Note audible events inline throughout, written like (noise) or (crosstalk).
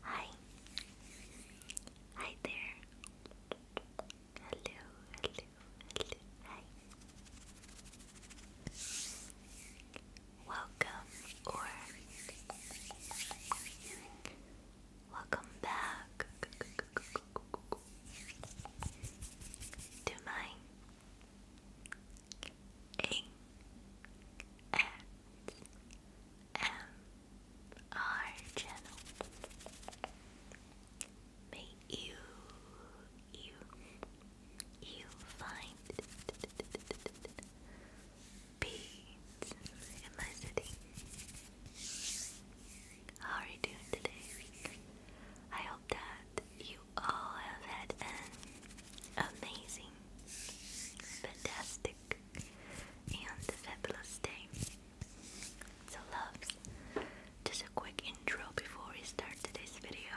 Hi. Hi there. Hello, hello, hello. Hi. Welcome or Welcome back to my A S M R channel. May you you you find peace in my city. How are you doing today? I hope that you all have had an amazing, fantastic, and fabulous day. So, loves, just a quick intro before we start today's video.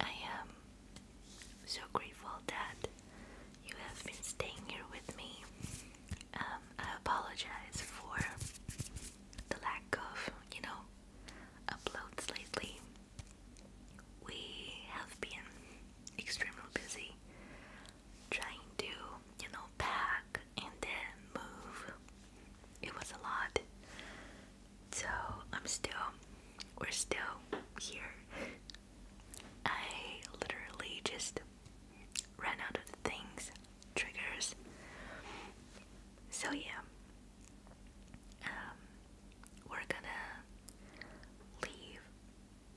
I am so grateful that you have been staying here with me. Um, I apologize for the lack of, you know, uploads lately. We have been extremely busy trying to, you know, pack and then move. It was a lot. So I'm still, we're still here. I literally just run out of things, triggers. So, yeah, um, we're gonna leave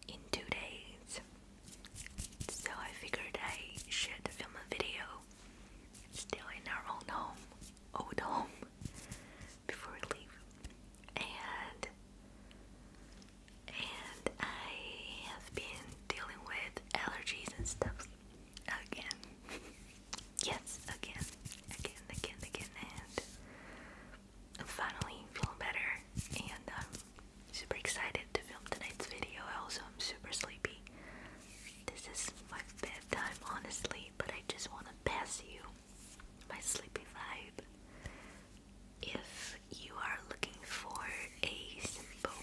in two days. So, I figured I should film a video still in our own home, old home, before we leave. And and I have been dealing with allergies and stuff again. (laughs) yes, again, again, again, again, and I'm finally feeling better, and I'm um, super excited to film tonight's video. Also, I am super sleepy. This is my bedtime, honestly, but I just want to pass you my sleepy vibe. If you are looking for a simple,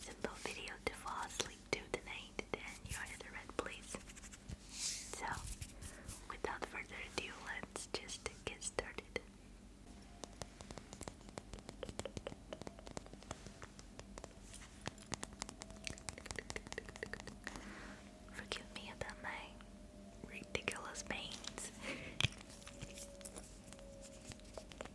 simple video to fall asleep to tonight, and you are in the red, place. So, without further ado, let's just get started. Forgive me about my ridiculous pains. (laughs)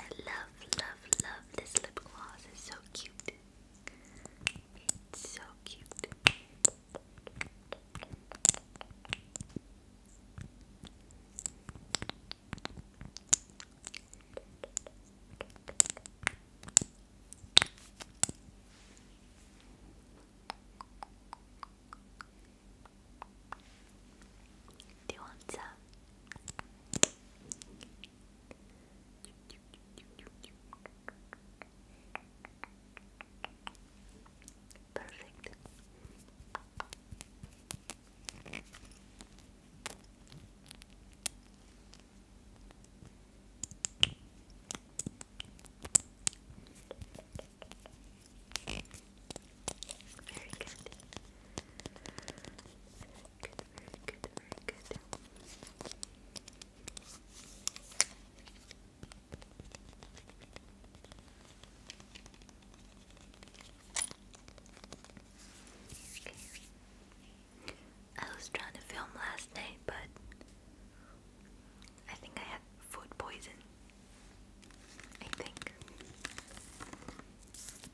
I love, love, love this lip gloss. It's so cute. It's so cute. Do you want some? Perfect. Very good very good, very good. I was trying to film last night, but I think I had food poison. I think.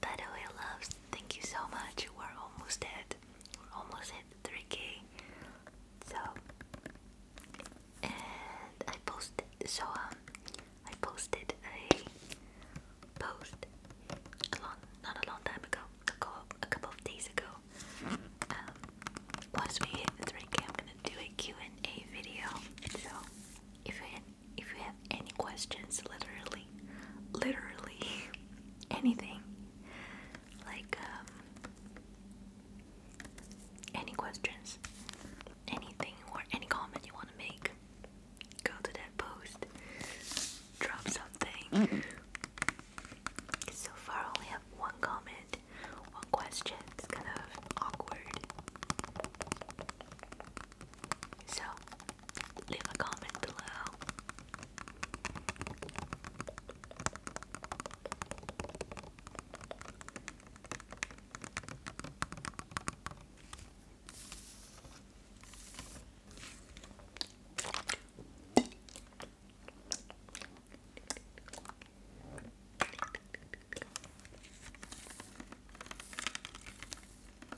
By way, loves, thank you so much. We're almost at, we're almost at 3k. So, and I posted, so um, I posted a post a long, not a long time ago, a couple, a couple of days ago. Um, once we hit 3k, I'm gonna do a Q&A video. So, if you if you have any questions, literally, literally. (laughs) anything. Like, um, any questions, anything, or any comment you want to make, go to that post, drop something. So far, only have one comment, one question. It's kind of awkward. So, leave a comment below. I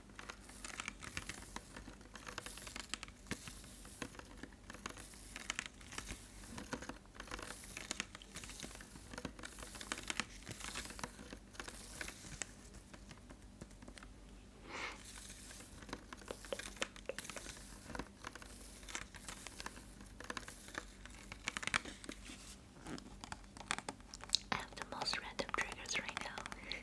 have the most random triggers right now.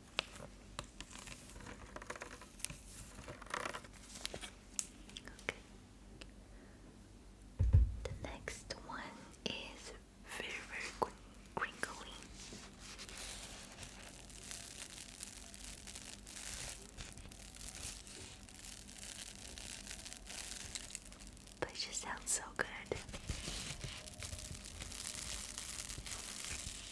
Okay. The next one is very, very crinkly. But it just sounds so good.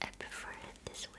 I prefer it this way.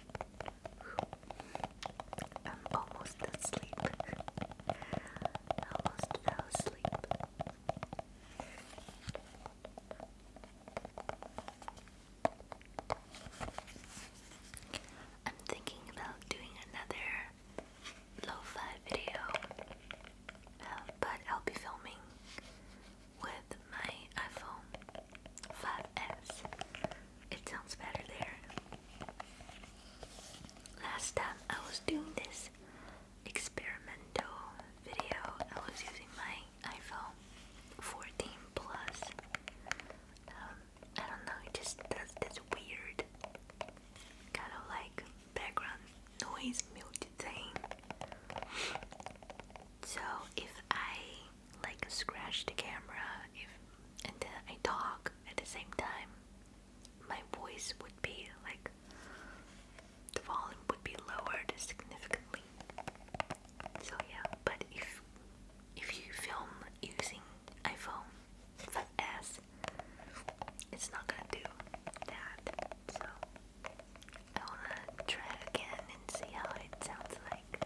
I'm almost asleep. almost fell asleep. I'm thinking about doing another lo video, uh, but I'll be filming with my iPhone 5S. It sounds better there. Last time I was doing this experimental video, I was using my iPhone 14 Plus. Um, I don't know, it just does this weird kind of like background noise mute thing. So if I like scratch the camera if and then I talk at the same time, my voice would be like the volume would be lowered significantly. So yeah, but if if you film using iPhone 5S, it's not gonna do that. So I wanna try it again and see how it sounds like.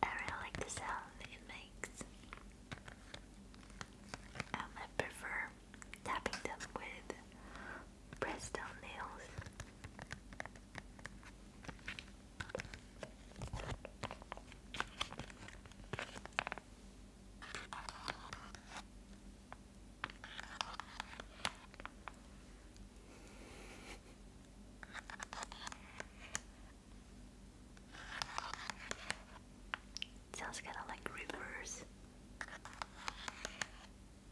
I really like the sound it makes. Um, I prefer tapping them with pressed down nails. Sounds kind of like rivers.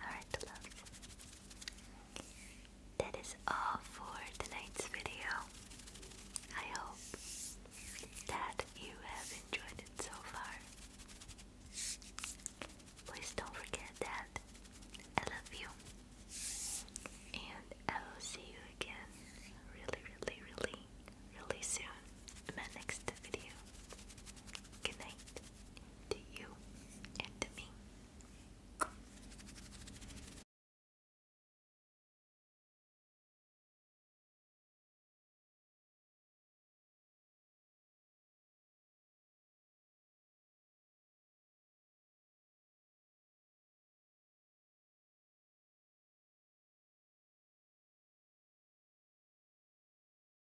Alright, That is all for tonight's video. I hope that you have enjoyed it so far. Please don't forget that I love you. And I will see you again really, really, really, really soon in my next video. Good night to you and to me.